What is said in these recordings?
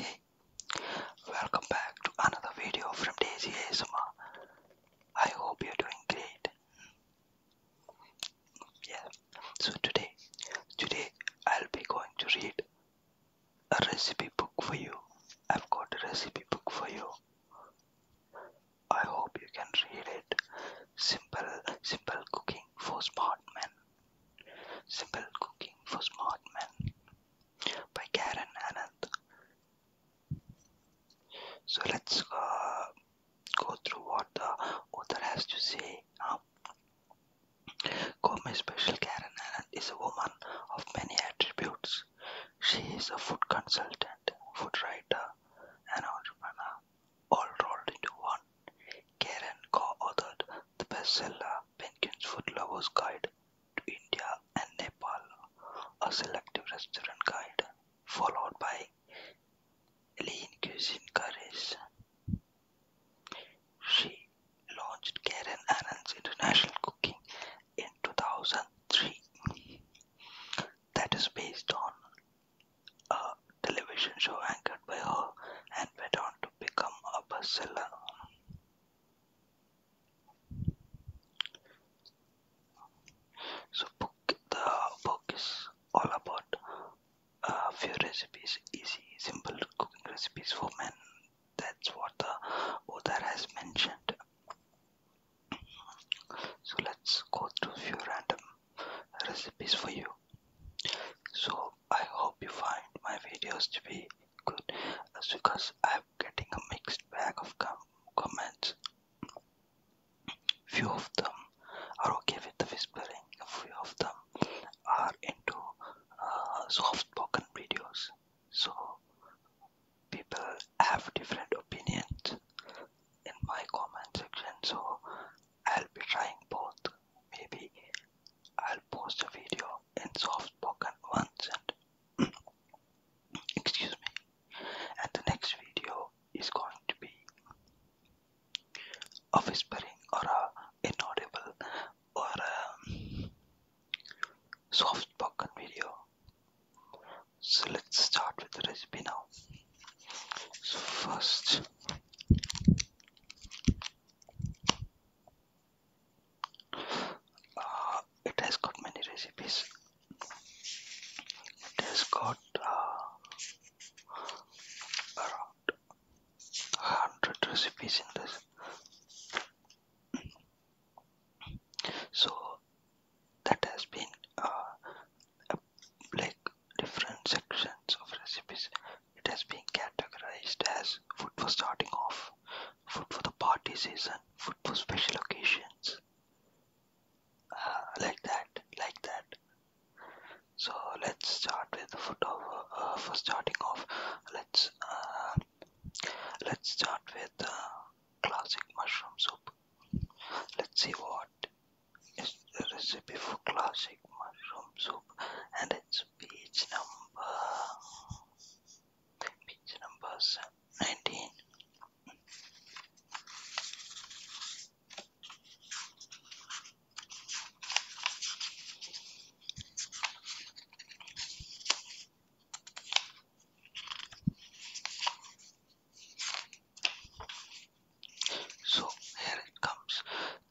Hey, welcome back to another video from Daisy ASMR. I hope you're doing great. Yeah, so today, today I'll be going to read a recipe book for you. I've got a recipe book for you. I hope you can read it. Simple, simple cooking for smart men. Simple Cooking for Smart Men by Karen Anand. So let's uh, go through what the author has to say now. Special Karen Anand is a woman of many attributes. She is a food consultant, food writer, and entrepreneur, all rolled into one. Karen co-authored the bestseller "Penguin's Foodlover's Guide to India and Nepal: A Selective Restaurant Guide", followed by "Lean Cuisine Curries". She launched Karen Ann's International Cooking in 2003, that is based on a television show anchored by her and went on to become a bestseller. So book the book is all about a uh, few recipes, easy, simple cooking recipes for men. That's what the author has mentioned. So let's go through few random recipes for you. So I hope you find my videos to be good That's because I'm getting a mixed bag of com comments. Few of them are okay with the whispering, a few of them are into uh, soft spoken videos. So people have different opinions in my comment section so I'll be trying both maybe I'll post a video and soft-spoken ones and excuse me and the next video is going to be a whispering or an inaudible or a soft-spoken video so let's start with the recipe now so first uh, it has got many recipes. It has got uh, around 100 recipes in this. So that has been uh, like different sections of recipes it has been categorized as food for starting off, food for the party season, food for special occasions. Uh, like that, like that. So let's start with the food of, uh, for starting off. Let's uh, let's start with classic mushroom soup. Let's see what is the recipe for classic mushroom soup, and it's page number page numbers 19 so here it comes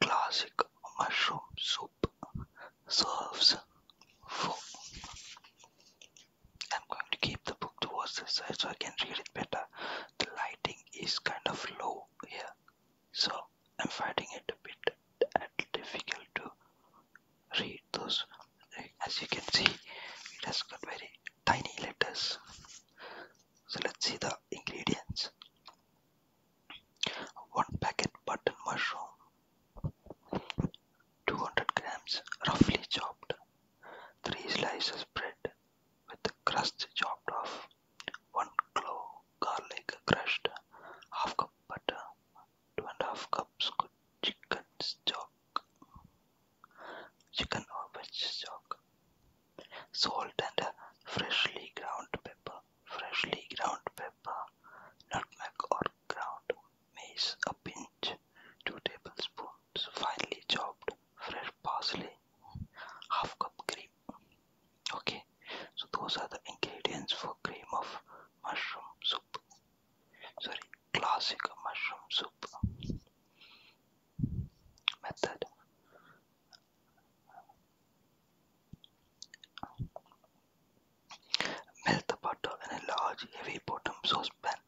classic mushroom soup serves for. I'm going to keep the book towards this side so I can read it better. The lighting is kind of low here, so I'm finding it a bit difficult to read those. As you can see, it has got very tiny letters. So let's see the ingredients. 1 packet button mushroom 200 grams roughly chopped 3 slices bread with crust chopped off 1 clove garlic crushed half cup butter two and a half cups good chicken stock chicken or veg stock salt and freshly ground pepper freshly ground pepper nutmeg or ground mace a pinch, 2 tablespoons finely chopped fresh parsley, half cup cream. Okay, so those are the ingredients for cream of mushroom soup. Sorry, classic mushroom soup. Method Melt the butter in a large, heavy bottomed saucepan.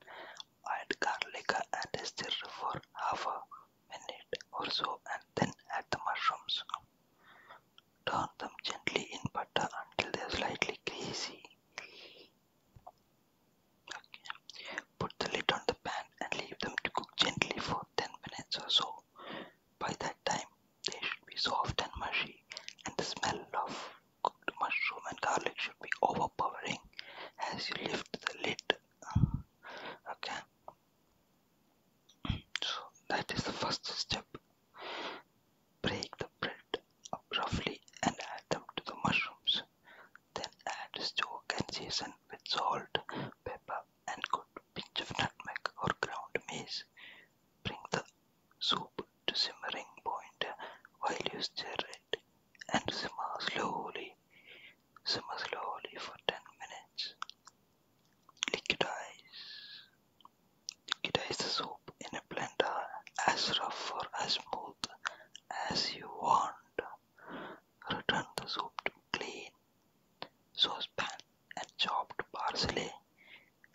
Add garlic and stir for half a minute or so and then add the mushrooms. Turn them gently in butter until they are slightly greasy. Put the lid on the pan and leave them to cook gently for 10 minutes or so. By that time, they should be soft and mushy, and the smell of cooked mushroom and garlic should be overpowering as you lift the lid. Okay, so that is the first step. Break the bread up roughly and add them to the mushrooms. Then add stock and season with salt, pepper, and a good pinch of nutmeg or ground mace. Bring the soup to simmering point while you stir it and simmer slowly. Simmer slowly for 10 minutes. Liquidize. Liquidize the soup in a blender as rough or as smooth as you want. Return the soup to clean saucepan and chopped parsley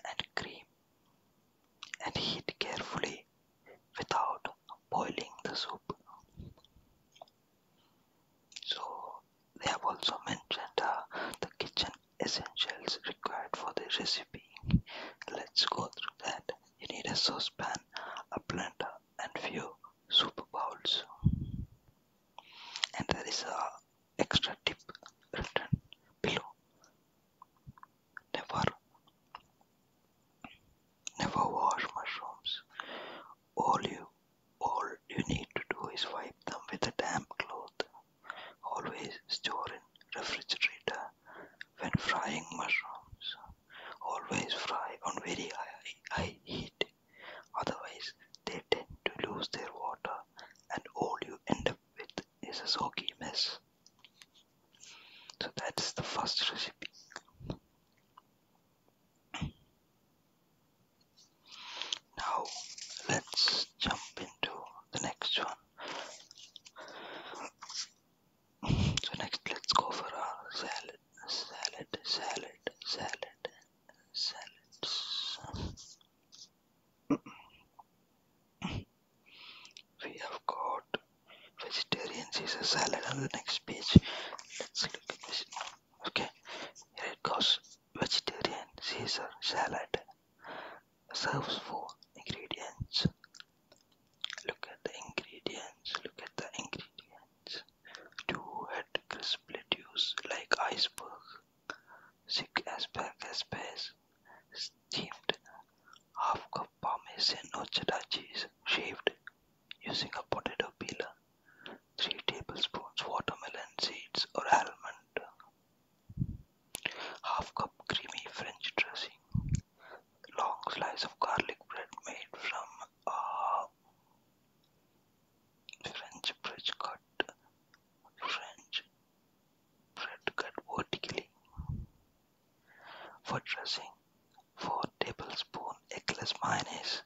and cream and heat carefully without boiling the soup. So they have also mentioned uh, the kitchen essentials required for the recipe. Let's go through that. You need a saucepan, a blender and few soup bowls. And there is a Extra tip written below. Never, never wash mushrooms. All you, all you need to do is wipe them with a damp cloth. Always store in refrigerator when frying mushrooms. Always fry on very high, high heat. Otherwise, they tend to lose their water, and all you end up with it's a soggy mess. So that's the first recipe. Now let's jump into the next one. So next let's go for a salad, salad, salad, salad, salads we have got vegetarian Caesar salad on the next page let's look at this okay here it goes vegetarian caesar salad serves four ingredients look at the ingredients look at the ingredients two head crisp lettuce like iceberg Sick asparagus base, steamed, half cup parmesan or cheddar cheese, shaved, using a potato peeler, 3 tablespoons watermelon seeds or almond, half cup creamy French dressing, long slices of garlic bread made from a uh, French bread cut, French cut vertically. For dressing, 4 tablespoons eggless mayonnaise,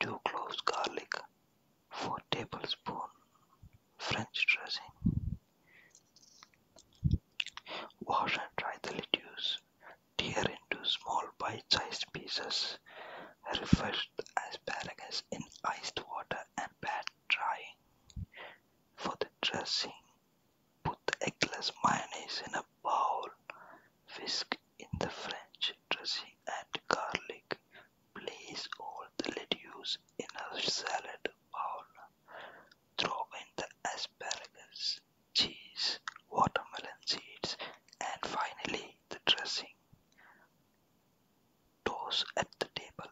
2 cloves garlic, 4 tablespoons French dressing. Wash and dry the lettuce, tear into small bite-sized pieces, refresh asparagus in iced water and pat dry. For the dressing, put eggless mayonnaise in a bowl, whisk in the French dressing and garlic. Place all the lettuce in a salad bowl. Throw in the asparagus, cheese, watermelon seeds, and finally the dressing. Those at the table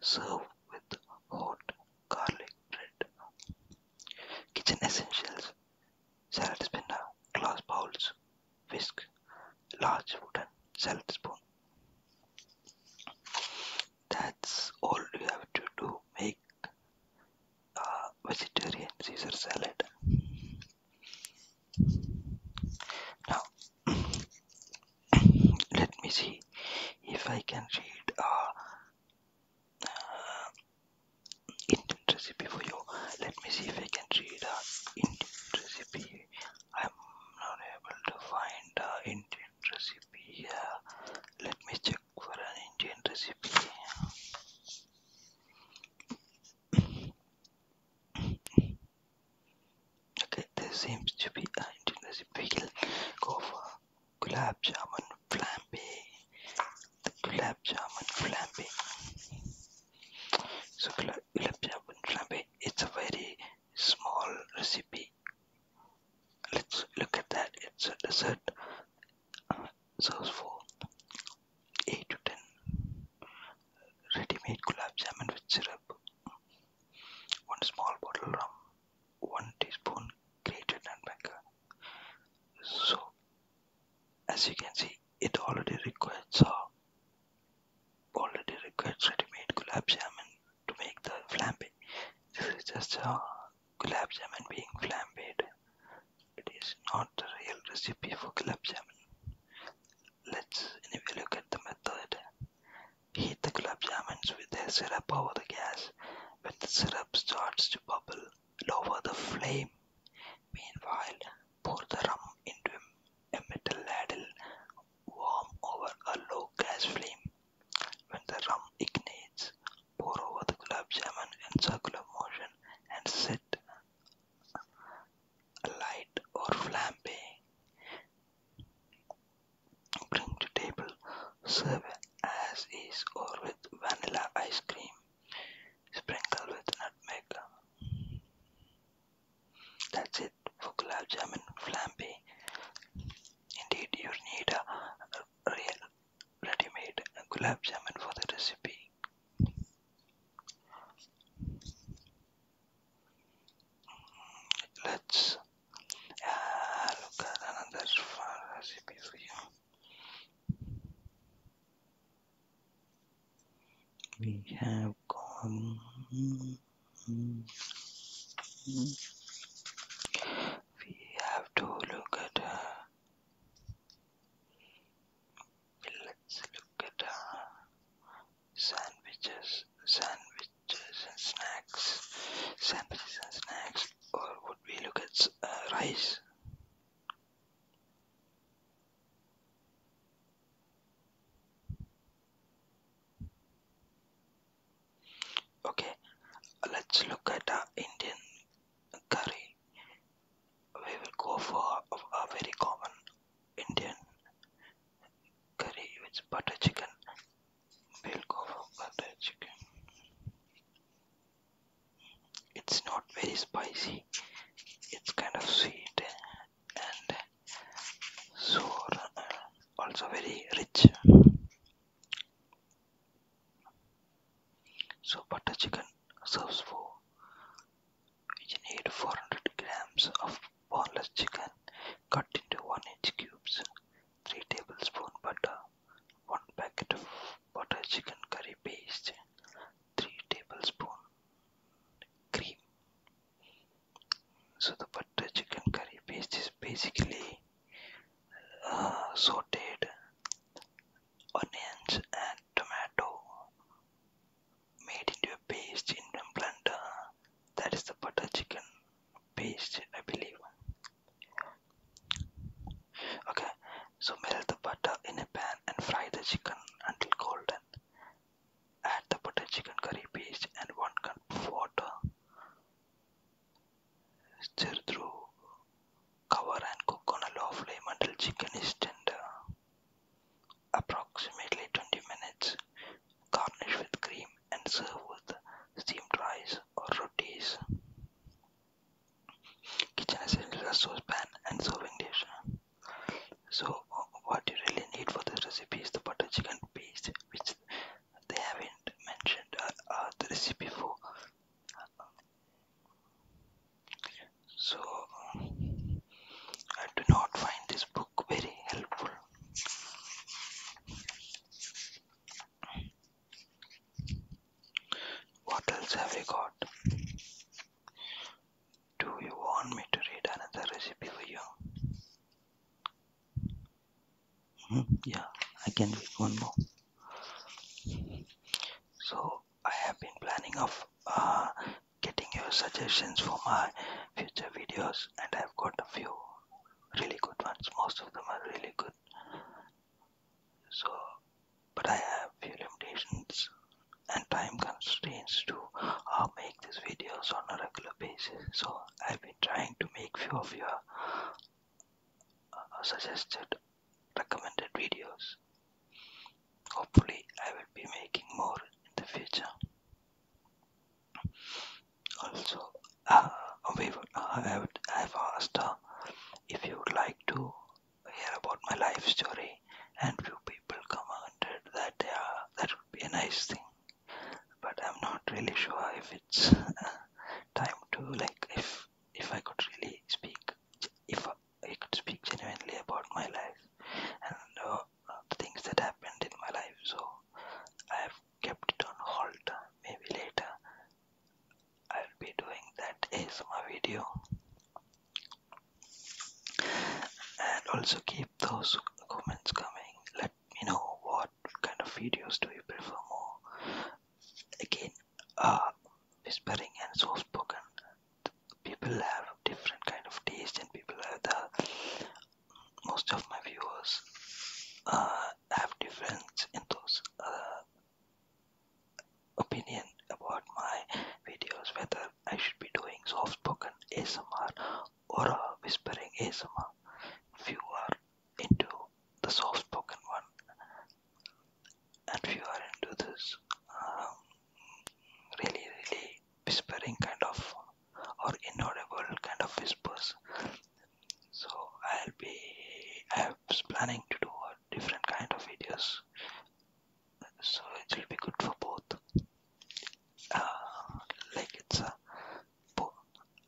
served with hot garlic bread. Kitchen essentials salad spinner, glass bowls, whisk, large wooden salad spoon. That's all you have to do. Make a vegetarian Caesar salad. Now, let me see if I can read a uh, uh, Indian recipe for you let me see if I can read a uh, Indian recipe I'm not able to find a uh, Indian recipe here let me check for an Indian recipe Okay, there seems to be an Indian recipe go for gulab jamun flambe. The gulab jamun flambe. So gulab, gulab jamun flambe. It's a very small recipe. Let's look at that. It's a dessert. sauce for eight to ten ready-made gulab jamun with syrup 1 small bottle rum, 1 teaspoon grated nutmeg. So, as you can see, it already requires uh, already requires ready-made gulab jam to make the flambe. This is just the uh, jam being flambéed. It is not a real recipe for gulab jam. Let's anyway look at the method. Heat the club jamuns with the syrup over the gas. When the syrup starts to bubble, lower the flame. Meanwhile, pour the rum into a metal ladle, warm over a low gas flame. When the rum ignites, pour over the club jamun in circular motion and set alight or flambe. Bring to table. Serve as is or with vanilla ice cream. Sprinkle with nutmeg. That's it for gulab jamun flambe. Indeed, you need a real ready-made gulab jamun for the recipe. Let's ah, look at another recipe We have gone we have to look at ah, let's look at ah, sandwiches sandwich and snacks, sandwiches and snacks, or would we look at uh, rice? Okay, let's look at our Indian curry. We will go for a very common Indian curry with butter chicken we'll go for butter chicken it's not very spicy it's kind of sweet and sour uh, also very rich so butter chicken serves for you need 400 grams of boneless chicken cut into 1 inch cubes 3 tablespoons butter 1 packet of butter chicken curry paste 3 tablespoons cream so the butter chicken curry paste is basically uh, sauteed onions and tomato made into a paste in a blender that is the butter chicken paste I believe okay so melt the butter in a pan and fry the chicken until golden add the butter chicken curry paste and 1 cup of water stir through cover and cook on a low flame until chicken is tender approximately 20 minutes garnish with cream and serve with steamed rice or rotis. Kitchen essentials are saucepan and serving dish. So, what you really need for this recipe is the butter chicken paste, which they haven't mentioned uh, uh, the recipe for. So, I do not find this book very helpful. What else have we got? Do you want me to read another recipe for you? Hmm, yeah, I can read one more. So I have been planning of uh, getting your suggestions for my future videos and I've got a few really good ones. Most of them are really good. So, but I have few limitations and time constraints to uh, make these videos on a regular basis. So I've been trying to make few of your uh, suggested, recommended videos. Hopefully, I will be making more in the future. Also, uh, we would, uh, I would, I've asked uh, if you would like to hear about my life story, and few people commented that uh, that would be a nice thing. But I'm not really sure if it's time to like if if I could really speak if I could speak genuinely about my life and uh, the things that happened in my life. So I have kept it on hold. Maybe later I'll be doing that ASMR video. And also keep those comments coming. Let me know what kind of videos do you prefer more. Again, uh, whispering and soft spoken. People have different kind of taste, and people have the most of my viewers. Uh, have difference in those uh, opinion about my videos whether I should be doing soft spoken ASMR or a whispering ASMR if you are into the soft spoken one and if you are into this um, really really whispering kind of or inaudible kind of whispers so I'll be I was planning to do a different kind of videos so it will be good for both uh, like it's a bo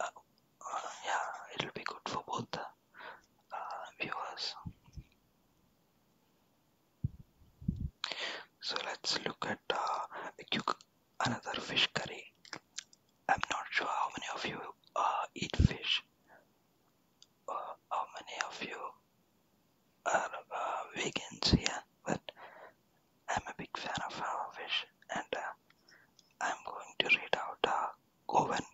uh, uh, yeah it will be good for both the viewers so let's look at uh, cuc another fish curry. I'm not sure how many of you uh, eat fish, or uh, how many of you are uh, vegans here, yeah? but I'm a big fan of uh, fish, and uh, I'm going to read out a uh, Govan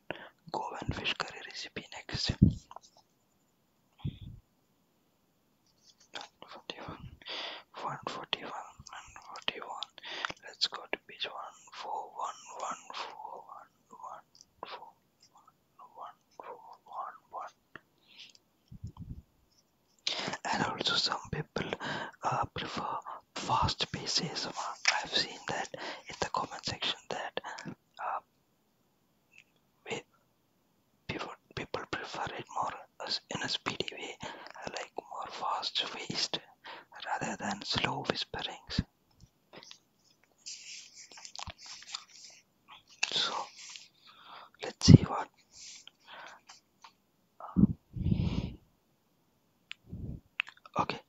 Govan fish curry recipe next. Forty-one one forty one and one. Let's go to page one four one one four one one four one one four one one. And also, some people uh, prefer fast pieces. I've seen that in the comment section that uh, people people prefer it more in a speedy way more fast-paced rather than slow whisperings. So let's see what okay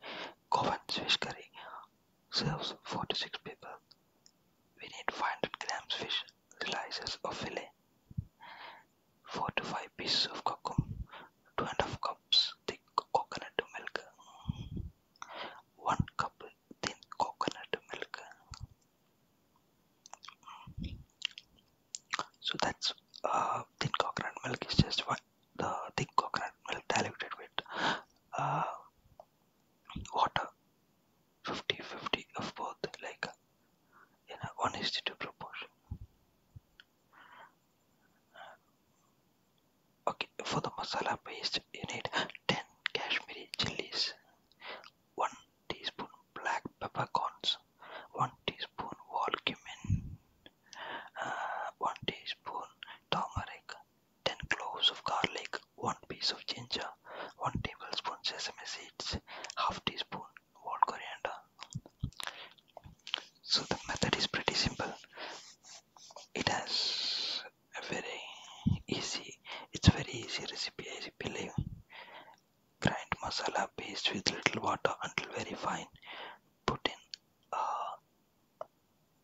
Covent's fish curry serves 46 people. We need 500 grams fish slices or fillet four to five pieces of cocoa, two and a half cups thick coconut milk, one cup thin coconut milk. So that's uh, thin coconut milk is just one, the thick coconut milk diluted with uh, water 50 of both like in a 1 is to 2 proportion Okay, for the masala paste, you need 10 Kashmiri chilies, 1 teaspoon black peppercorns, 1 teaspoon whole cumin, uh, 1 teaspoon turmeric, 10 cloves of garlic, 1 piece of ginger, 1 tablespoon sesame seeds, half teaspoon whole coriander. So the method is pretty simple. It has a very easy, it's very easy recipe I believe. Grind masala paste with little water until very fine. Put in uh,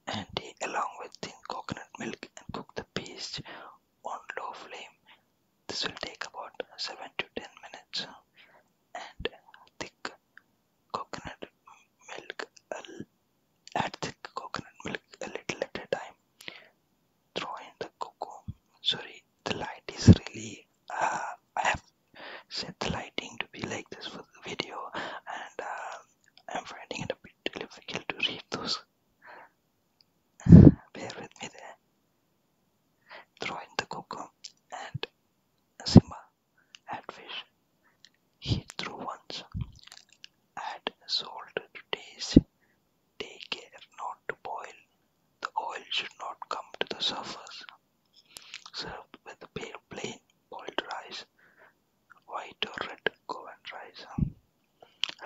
ante along with thin coconut milk and cook the paste on low flame. This will take about 7 to 10 minutes and thick coconut milk, add the coconut milk a little at a time. Throw in the cocoa. Sorry, the light is really. Uh, I have set the lighting to be like this for the video, and uh, I'm finding it a bit difficult to read those. Bear with me there. Throw in the cocoa and uh, Simba Add fish. Heat through once Add salt to taste. Take care not to boil. The oil should not come to the surface. Served with pale plain boiled rice, white or red Goan rice.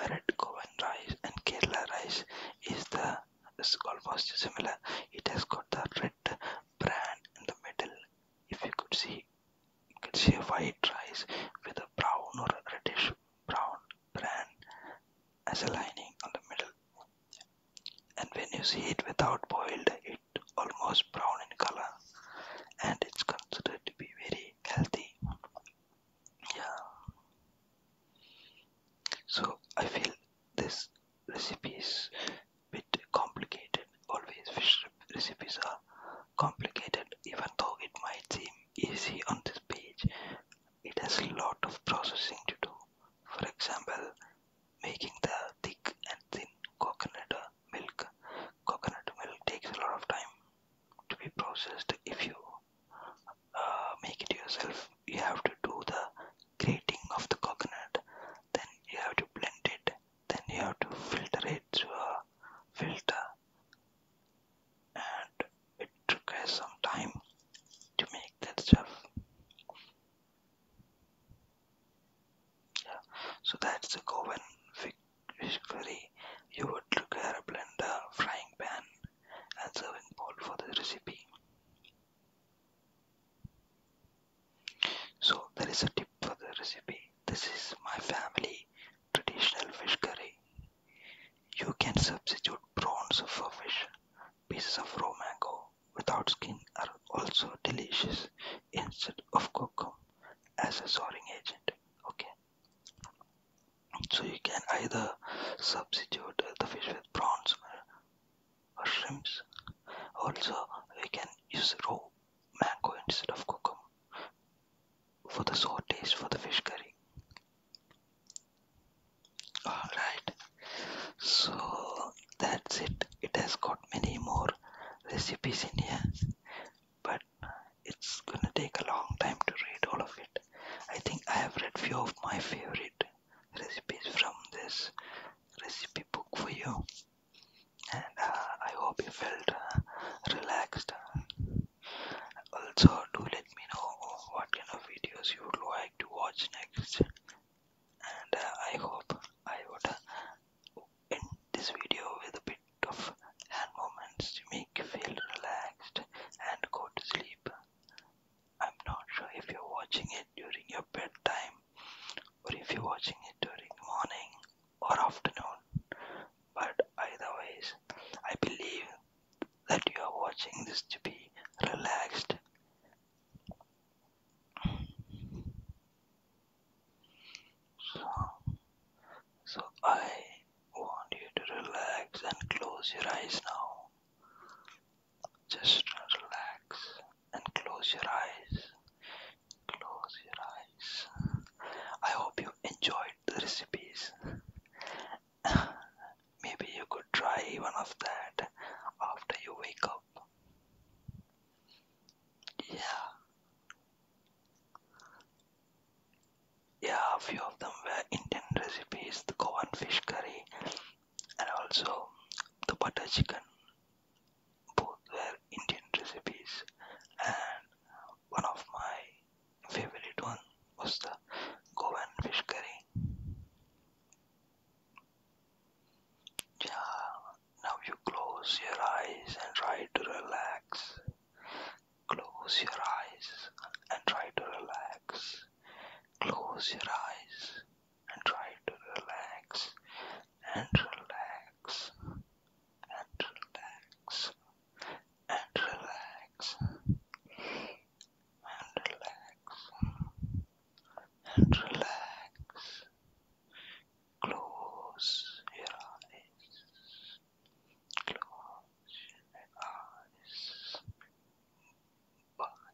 Red Goan rice and Kerala rice is the is almost similar. It has got the red that brand in the middle if you could see you could see a white rice with a brown or a reddish brown bran as a lining on the middle and when you see it without boiled it almost brown in color and it's considered to be very healthy yeah so i feel this recipe is bit complicated. Always fish recipes are complicated even though it might seem easy on this page. It has a lot of processing to do. For example, making the thick and thin coconut milk. Coconut milk takes a lot of time to be processed if you uh, make it yourself. You have to do the grating of the coconut then you have to blend it then you have to filter it through a filter and it took us some time to make that stuff so that's the coven fish curry you would require a blender frying pan and serving bowl for the recipe so there is a tip for the recipe. This is my family traditional fish curry. You can substitute prawns for fish. Pieces of raw mango without skin are also delicious instead of coconut as a soaring agent. Okay. So you can either substitute the fish with prawns or shrimps. Also, we can use raw mango instead of cucumber for the sour taste for the fish curry. Alright, so that's it. It has got many more recipes in here, but it's gonna take a long time to read all of it. I think I have read few of my favorite recipes from this recipe book for you and uh, I hope you felt uh, relaxed. Also, do let me know what kind of videos you would like to watch next, and uh, I hope I would end this video with a bit of hand movements to make you feel relaxed and go to sleep. I'm not sure if you're watching it during your bedtime or if you're watching it during morning or afternoon but either ways i believe that you are watching this to be relaxed so i want you to relax and close your eyes now just relax and close your eyes. Close your eyes. I hope you enjoyed the recipes. Maybe you could try one of that after you wake up. Yeah. Yeah, a few of them were Indian recipes the Goan fish curry and also the butter chicken both were Indian recipes and one of my favorite one was the Goan fish curry. Yeah, now you close your eyes and try to relax. Close your eyes and try to relax. Close your eyes and try to relax and relax and relax and relax and relax and relax. Close your eyes. Close your eyes. Bye.